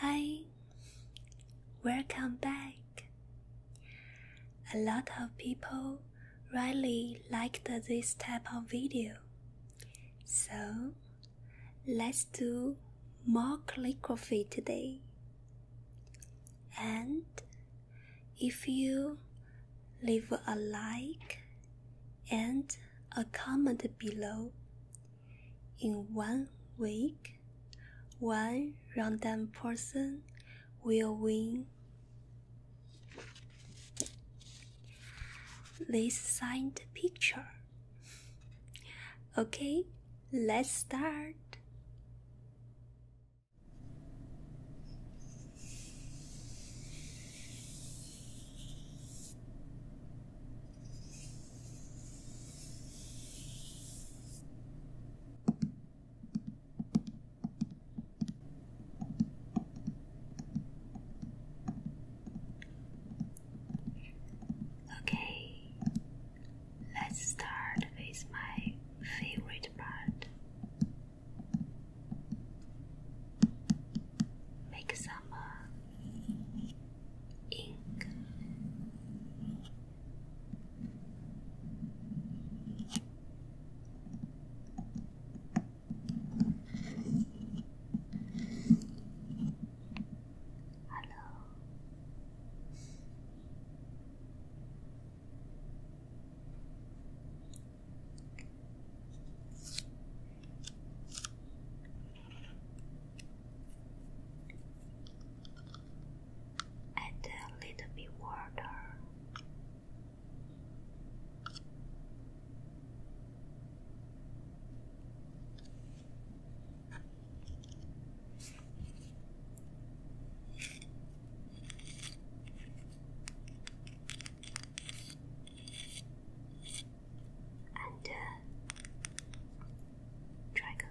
Hi, welcome back. A lot of people really liked this type of video, so let's do more calligraphy today. And if you leave a like and a comment below, in one week, one random person will win this signed picture. Okay, let's start. Okay, let's start with my favorite part. Make some uh, ink. Hello. Add a little bit water and uh, dragon.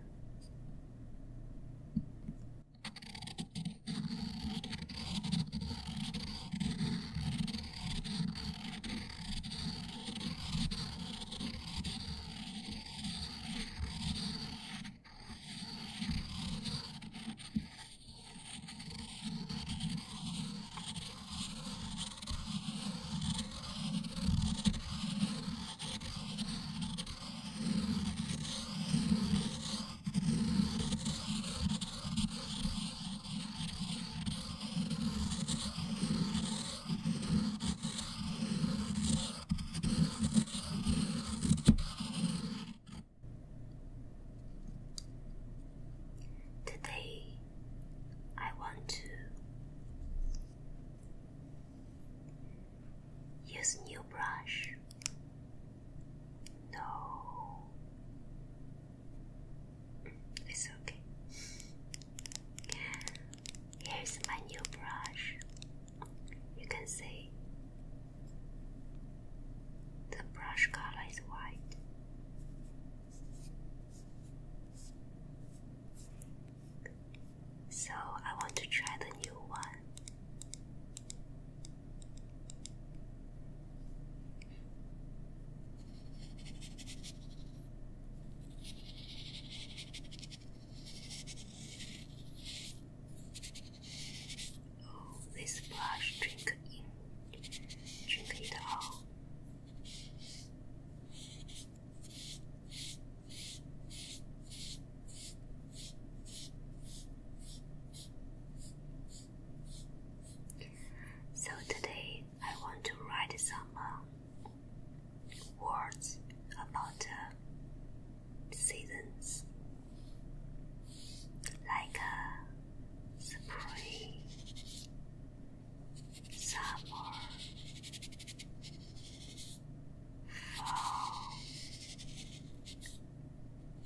Today, I want to Use new brush. No. It's okay. Here's my new brush. You can see the brush color is white. So I want to try the new one. Oh, this blush drink in, drink it all. So today I want to write some um, words about uh, seasons like uh, spring, summer, fall,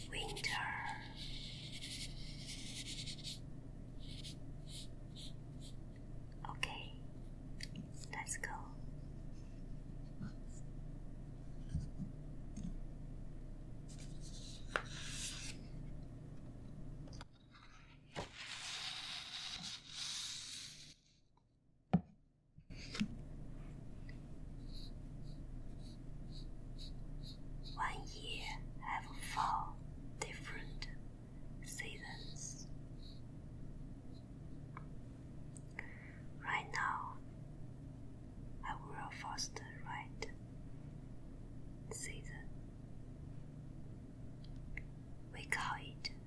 winter. Okay, let's go. One year have four different seasons. Right now, I will first write season. We call it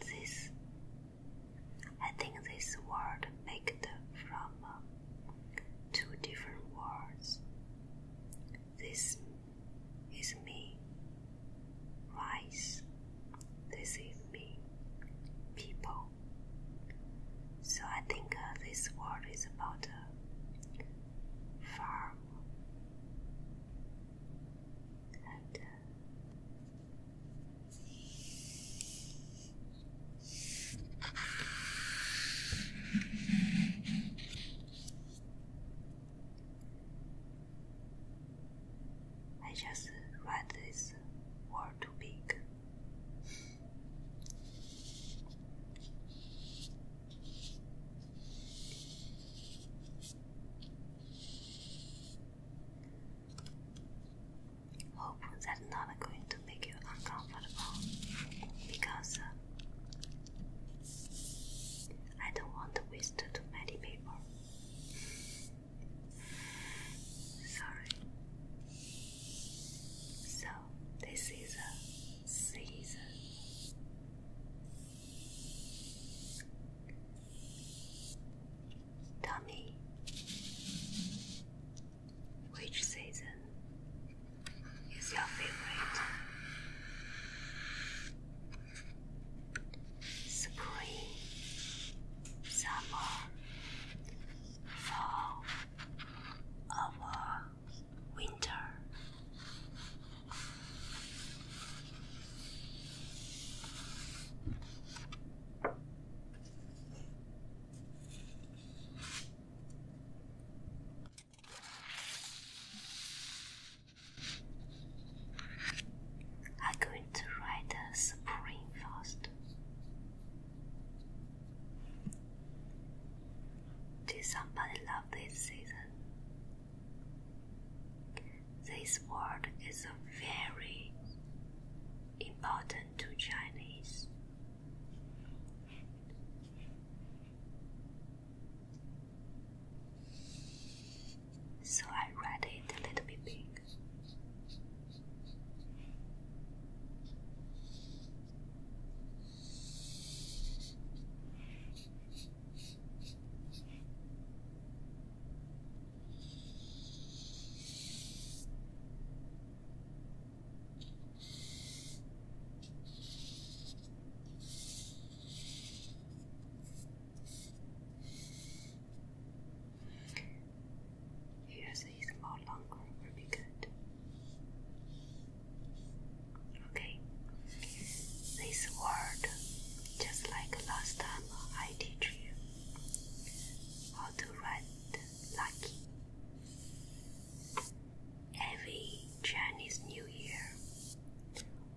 This, I think, this word made from uh, two different words. This is me, rice. This is me, people. So I think uh, this word is about uh, uh, I just write this word too big. Hope that's not going to make you uncomfortable because uh, I don't want to waste too many paper. Sorry. So this is a season Tell which season is your favorite? Spring, summer, fall, or winter. I'm going to write the spring first. Did somebody love this season? This word is very important to Chinese. So I read it a little bit big. Here's a small long room will good. Okay, this word, just like last time I teach you how to write lucky. Every Chinese New Year,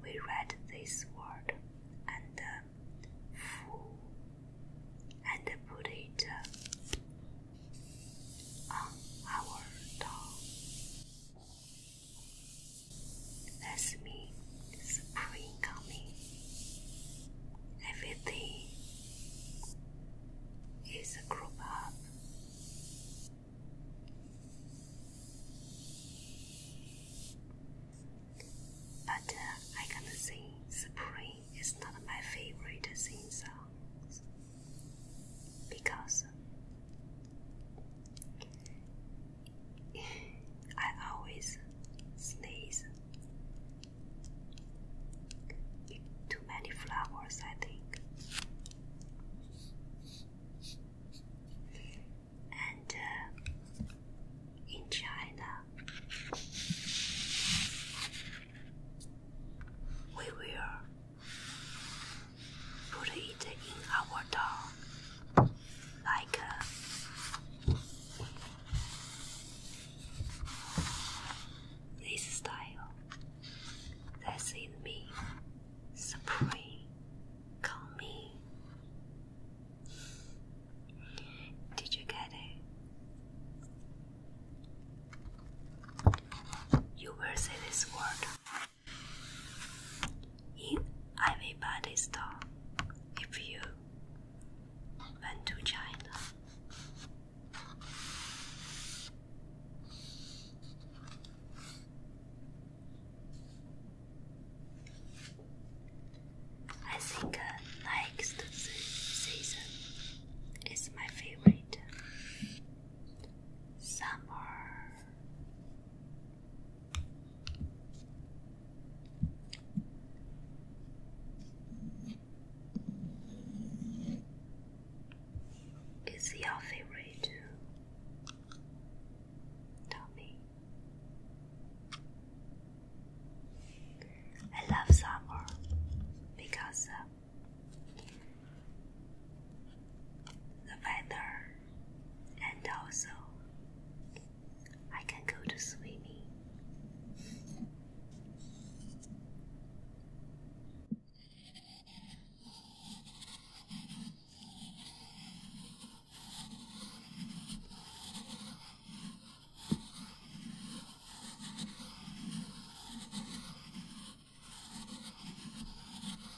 we read this word and uh, fu and put it uh, on our tongue. That's me, spring coming. Everything is a group up. But uh, I can sing spring is not my favorite sing songs because I always sneeze. Too many flowers, I think. And uh, in China, we will put it in our door like uh, this style. That's in me. Supreme. Call me. Did you get it? You will say this word. In, everybody's am If you went to China, I think uh, next season is my favorite. Summer is your favorite too? Tell me. I love summer because uh, the weather, and also I can go to swimming.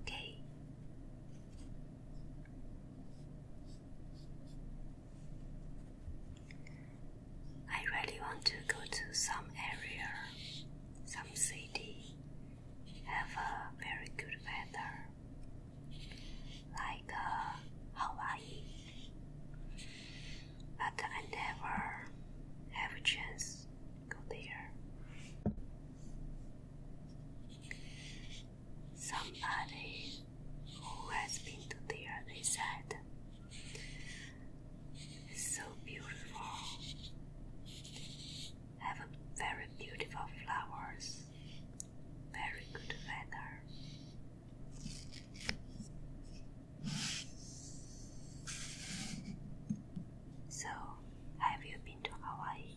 Okay. I really want to go to some area, some city, have a very good weather, like uh, Hawaii. But I never have a chance go there. Somebody who has been to there, they said, it's so beautiful. Have very beautiful flowers, very good weather. So, have you been to Hawaii?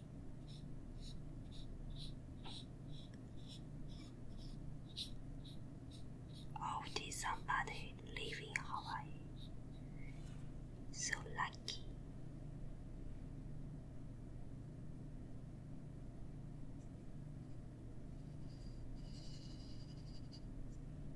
Or did somebody live in Hawaii? So lucky.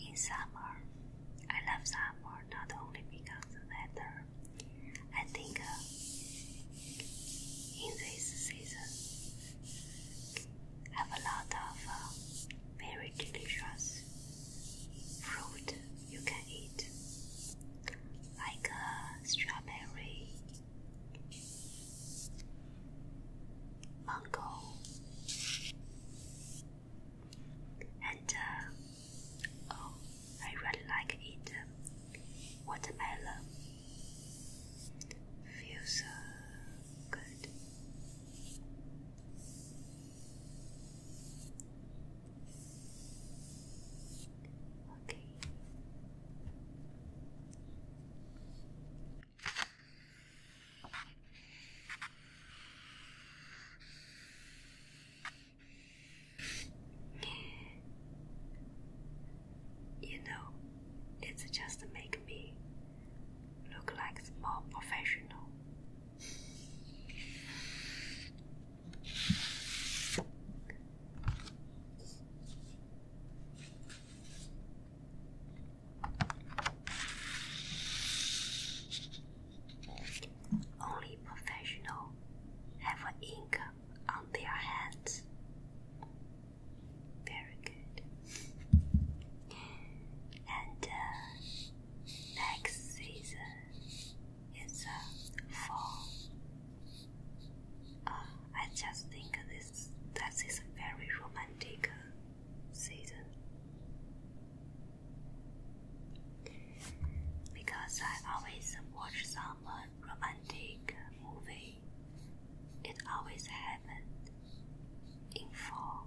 In summer, I love summer not only because of the weather. I think uh, in this season, have a lot of uh, very delicious fruit you can eat like a strawberry, mango, and uh, oh, I really like it. Uh, watermelon feels uh, good. Okay. You know, it's just make me look like more professional. Only professional have an ink on their hands. Very good. And uh, next season it's a fall. Uh, I just think this that is a very romantic uh, season because I always watch some uh, romantic movie. It always happened in fall.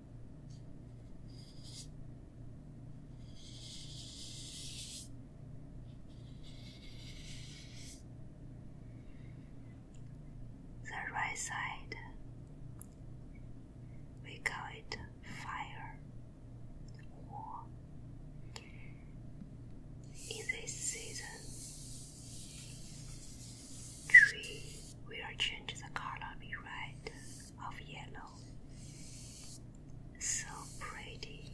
The right side, we call it fire or in this season, tree will change the color be red of yellow. So pretty.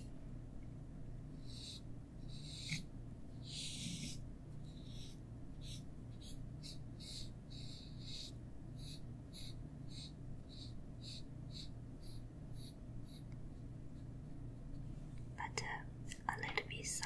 But uh, a little bit side.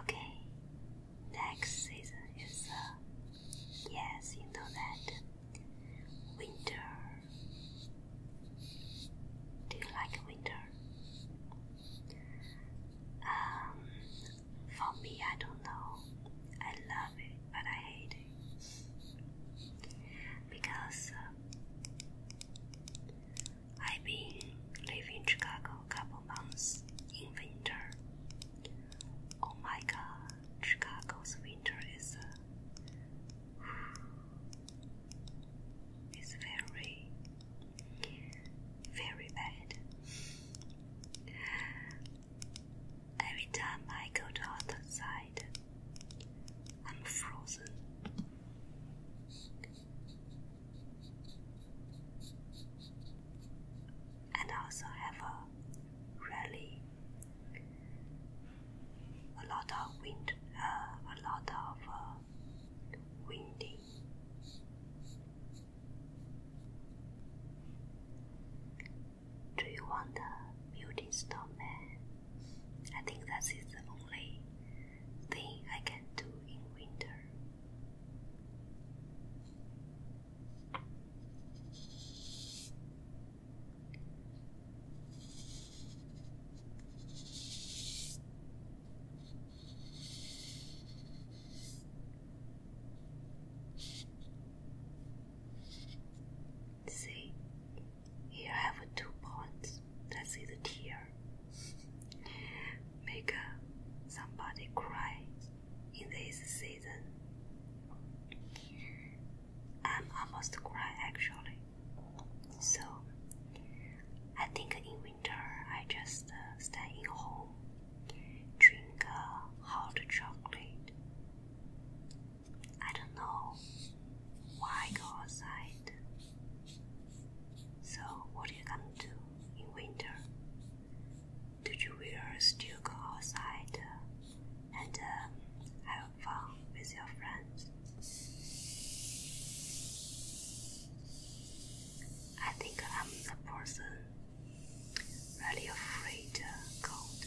Okay, next season is uh, yes, you know that winter. Do you like winter? Um, for me, I don't know. I love it, but I hate it because uh, I've been living in Chicago a couple months in winter. Oh my god, Chicago's winter is uh, it's very, very bad. Every time I go to outside, I'm frozen and also have a really a lot of wind, uh, a lot of uh, windy. Do you want a building snowman? I think that is the only thing I can do in winter. See, here I have two points. That is a tear. Make uh, somebody cry in this season. I'm almost cry actually. So I think in winter I just uh, stay in home, drink uh, hot chocolate. I don't know why go outside so, what are you gonna do in winter? Did you will still go outside uh, and um, have fun with your friends? I think I'm the person really afraid uh, cold.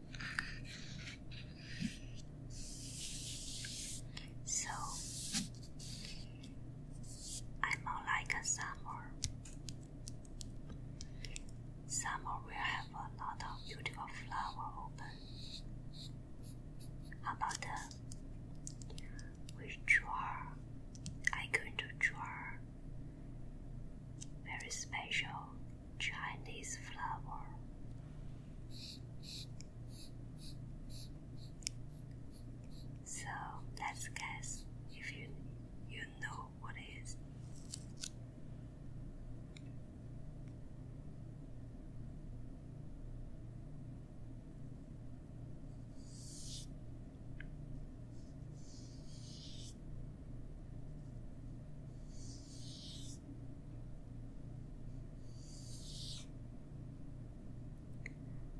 So I'm like summer. Summer will have a lot of beautiful flower open. How about uh, draw? i going to draw very special Chinese flower. So let's guess if you you know what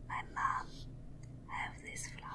my mom have this flower.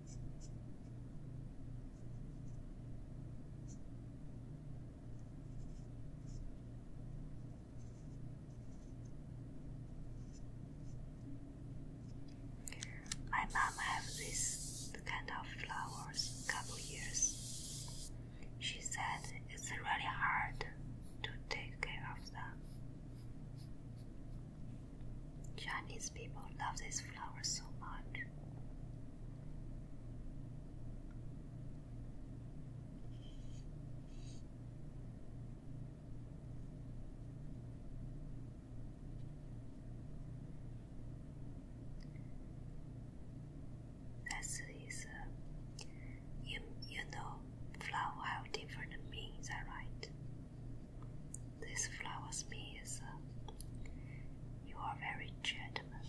My mom had this kind of flowers couple years. She said it's really hard to take care of them. Chinese people love this flower so much. This is, uh, you, you know, flower have different meanings, right? This flower me, sir. you are very gentleman.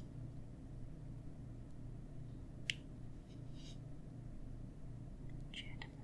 Gentleman.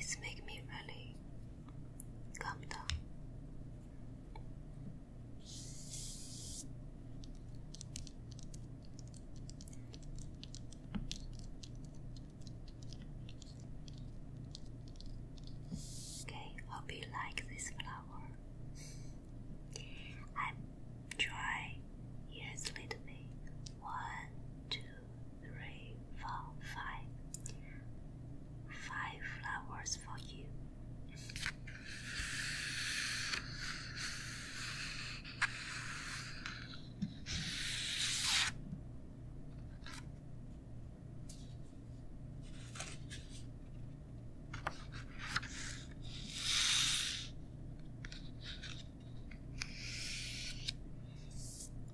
It's make me really calm down. Okay, hope you like this flower. I'm dry. a little bit. One, two, three, four, five. Five flowers for you.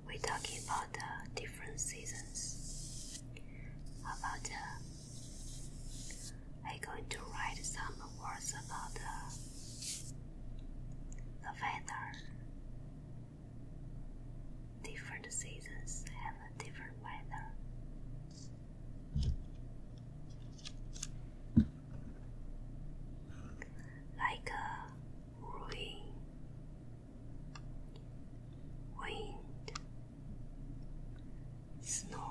We're talking about the different seasons. about the, I'm going to write some words about uh, the weather. Different seasons have a different weather. Like a wind, snowing.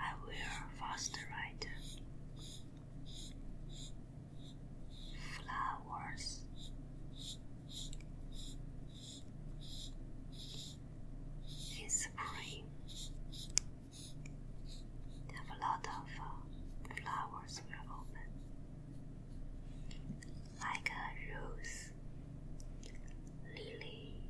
I will faster ride flowers in spring. a lot of uh, flowers will open, like a rose, lily,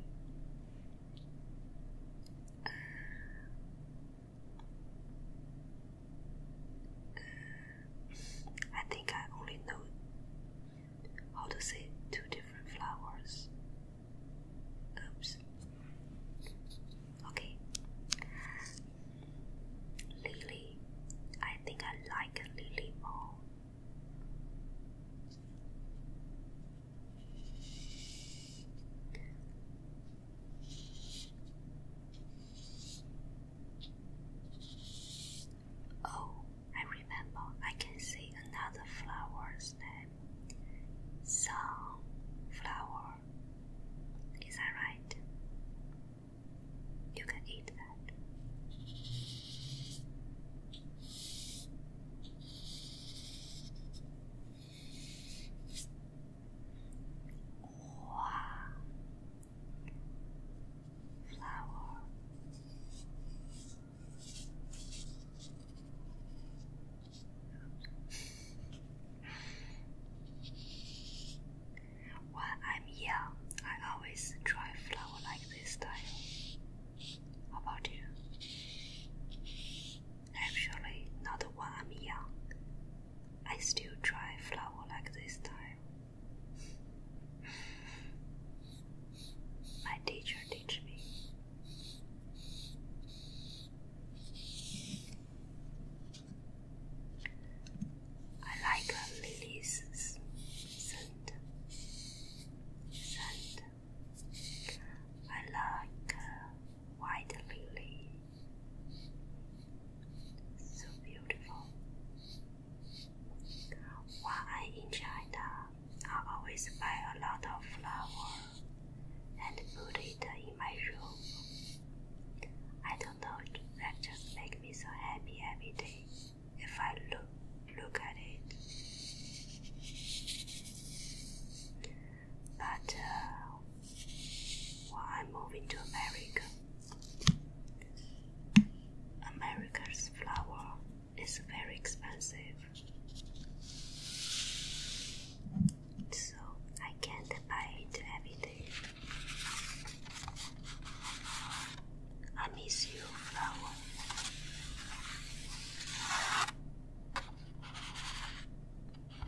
I think I only know how to say two different flowers. Oops. Okay. Lily. I think I like Lily more. Oh, I remember. I can see another flower's name. Sunflower. Is that right? You can eat that. Flower. when I'm young, I always try flower like this style. How about you? Actually, not when I'm young. I still try flower like this time. My teacher teach me. I like a lily's scent. I like white lily so beautiful. When i in China, I always buy a lot of flower and put it in my room. I don't know, that just me so happy every day if I look look at it. But uh, when I'm moving to America, America's flower is very expensive, so I can't buy it every day. I miss you, flower. Okay,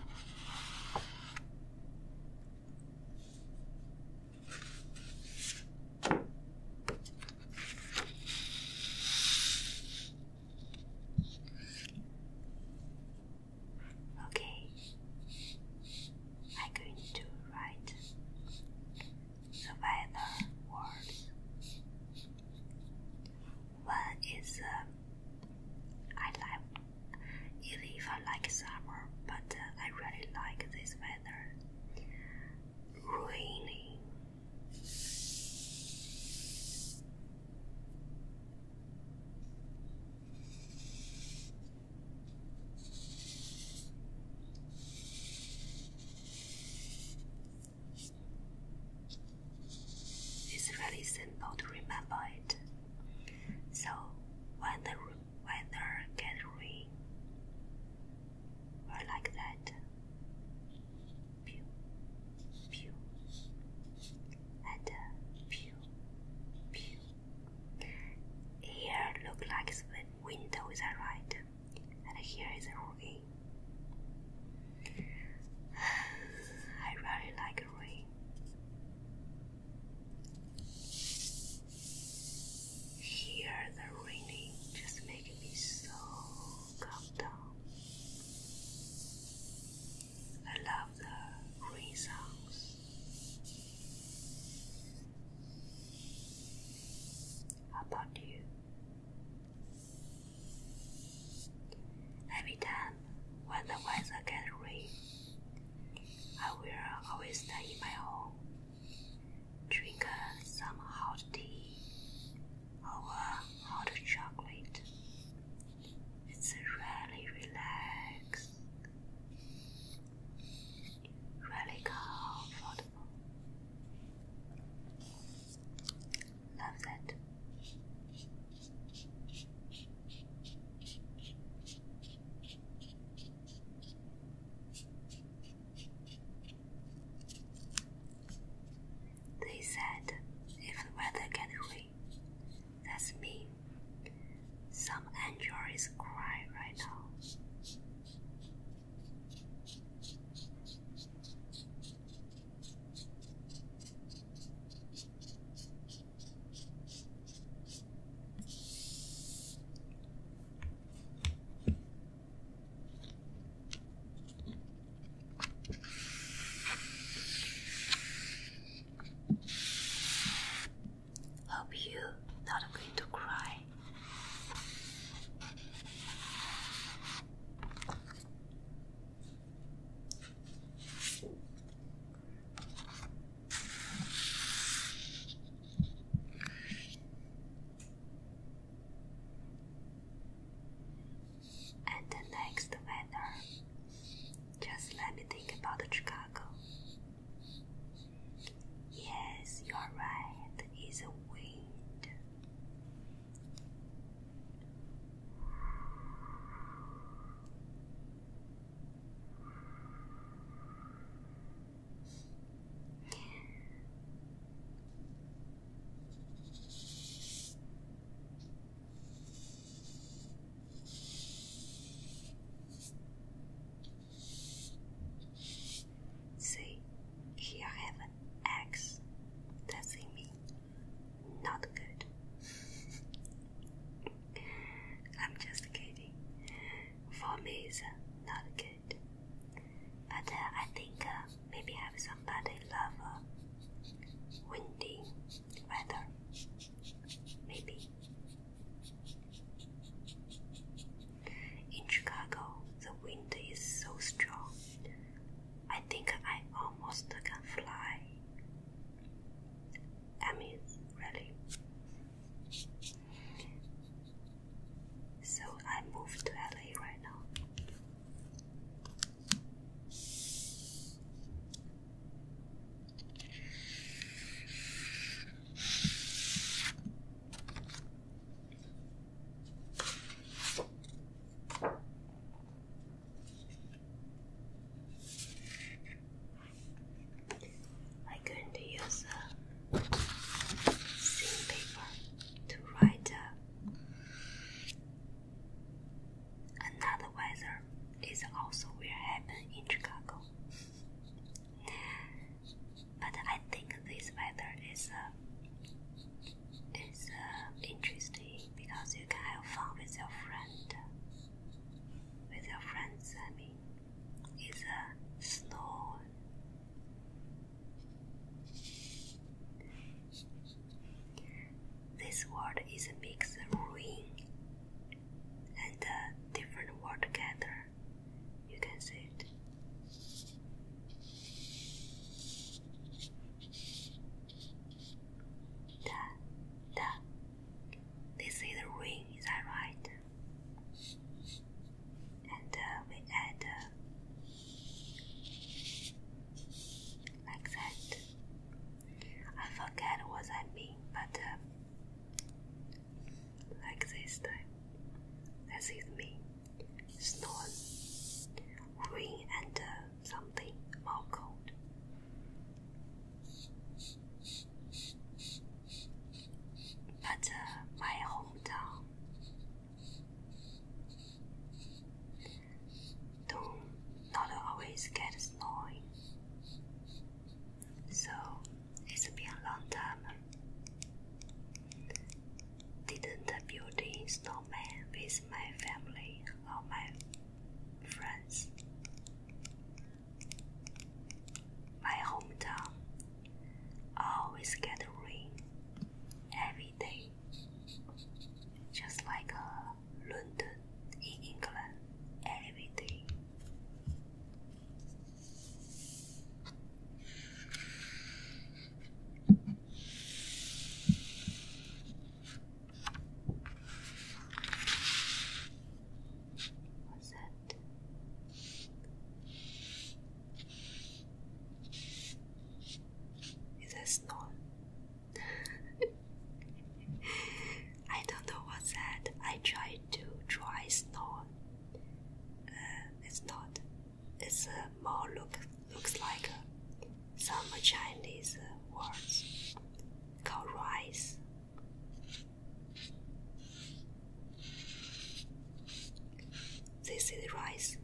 I'm going to write the weather words. One I like, even if I like summer, but uh, I really like this weather. Raining. It's really simple to remember it. So when the weather gets rain, we like that. Pew, pew, and uh, pew, pew. Here look like the window is right, and here is rain. I really like rain. Here, the raining just makes me so calm down. I love the rain sounds. How about you? Every time when the weather gets rain, I will always stay in my home, drink uh, some hot tea or uh, hot chocolate. It's really relaxed, really comfortable. Love that. They said, if the weather gets rain, that's me. Some angel is crying right now. Hope you not going to cry. And the next weather, just let me think about Chicago. Yes, you are right, it's a wind. See, here I have an X. That's in me. Not good. I'm just kidding. For me, it's uh, not good. But uh, I think uh, maybe i have somebody love uh, windy weather. Maybe. In Chicago, the wind is so strong. I think I almost can fly. Emmys, really. So I moved to LA right now. I'm going to use a thin paper to write uh, another weather is also will happen in Chicago. But I think this weather is uh, is uh, interesting because you can have fun with your friend with your friends, I mean, is a snow. This word is a mix of ruin and a different word together. You can see it. Da, da, this is the ring, is that right? And uh, we add uh, like that. I forget what I mean, but uh, like this time. me. Snow, rain, and something more cold. But uh, my hometown do not always get snowing, so it's been a long time. Didn't build a snowman with my family or my friends. My hometown. always get rain every day, just like uh, London in England every day was it? Is that snow? I don't know what's that. I tried to draw snow. Uh, it's not. It's uh, more look looks like uh, some Chinese uh, words called rice this is rice.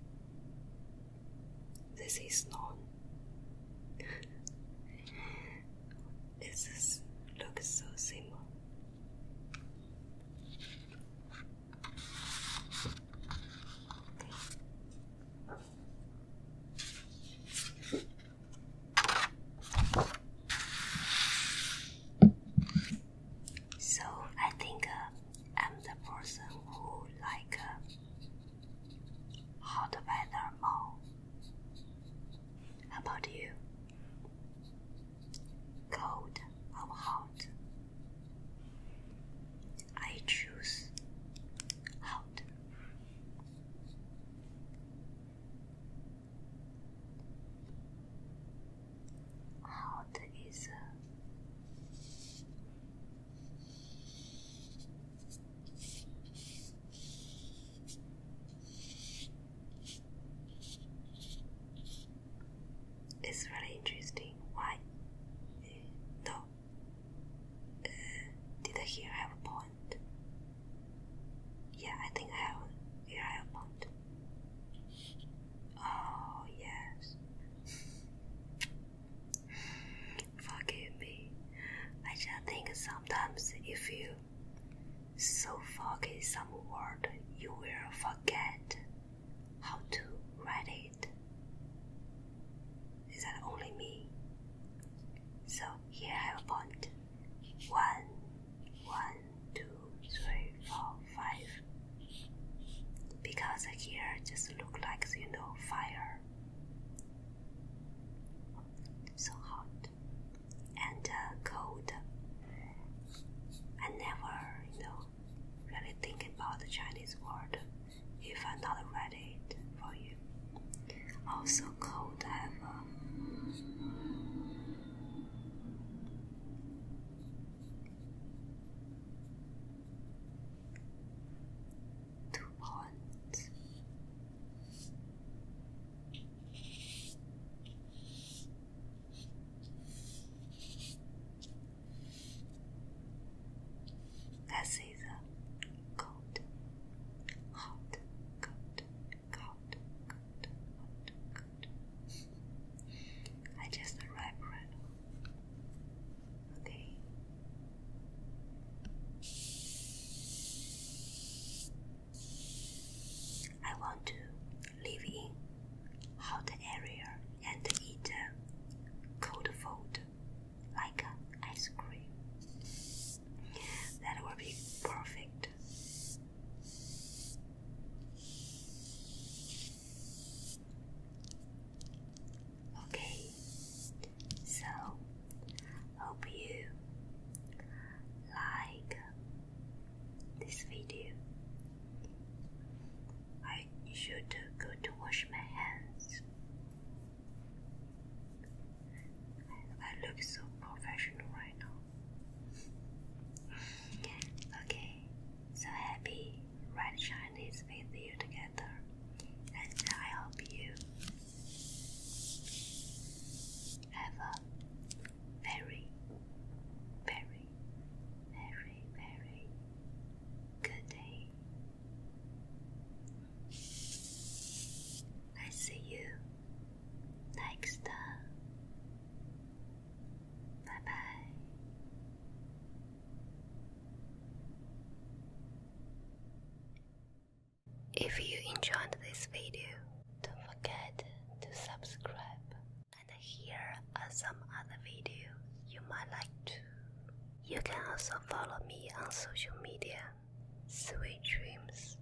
This is naan. this looks so simple. So I think uh, I'm the person who like uh, hot weather more. How about you? Cold or hot? I choose hot. Out is it's really interesting. Why? Eh, no, eh, did here have a point? Yeah, I think I have here I have a point. Oh yes. Forgive me. I just think sometimes if you so forget some word you will forget how to write it. Is that only me? So here I have a point. One one, two, three, four, five. Because here just look like you know fire. So hot and uh, cold. I never, you know, really think about the Chinese word if i not read it for you. Also cold have. Uh, Two points. This is a cold, hot coat. I just arrived Okay. I want to live in hot area and eat cold food like ice cream. That will be perfect Okay, so hope you like this video. I should go to wash my hands. I look so professional right now. Okay, so happy red Chinese with you together, and I hope you have a very, very, very, very good day. I see you. Next Bye bye. If you enjoyed this video, don't forget to subscribe and here are some other videos you might like to. You can also follow me on social media. Sweet dreams.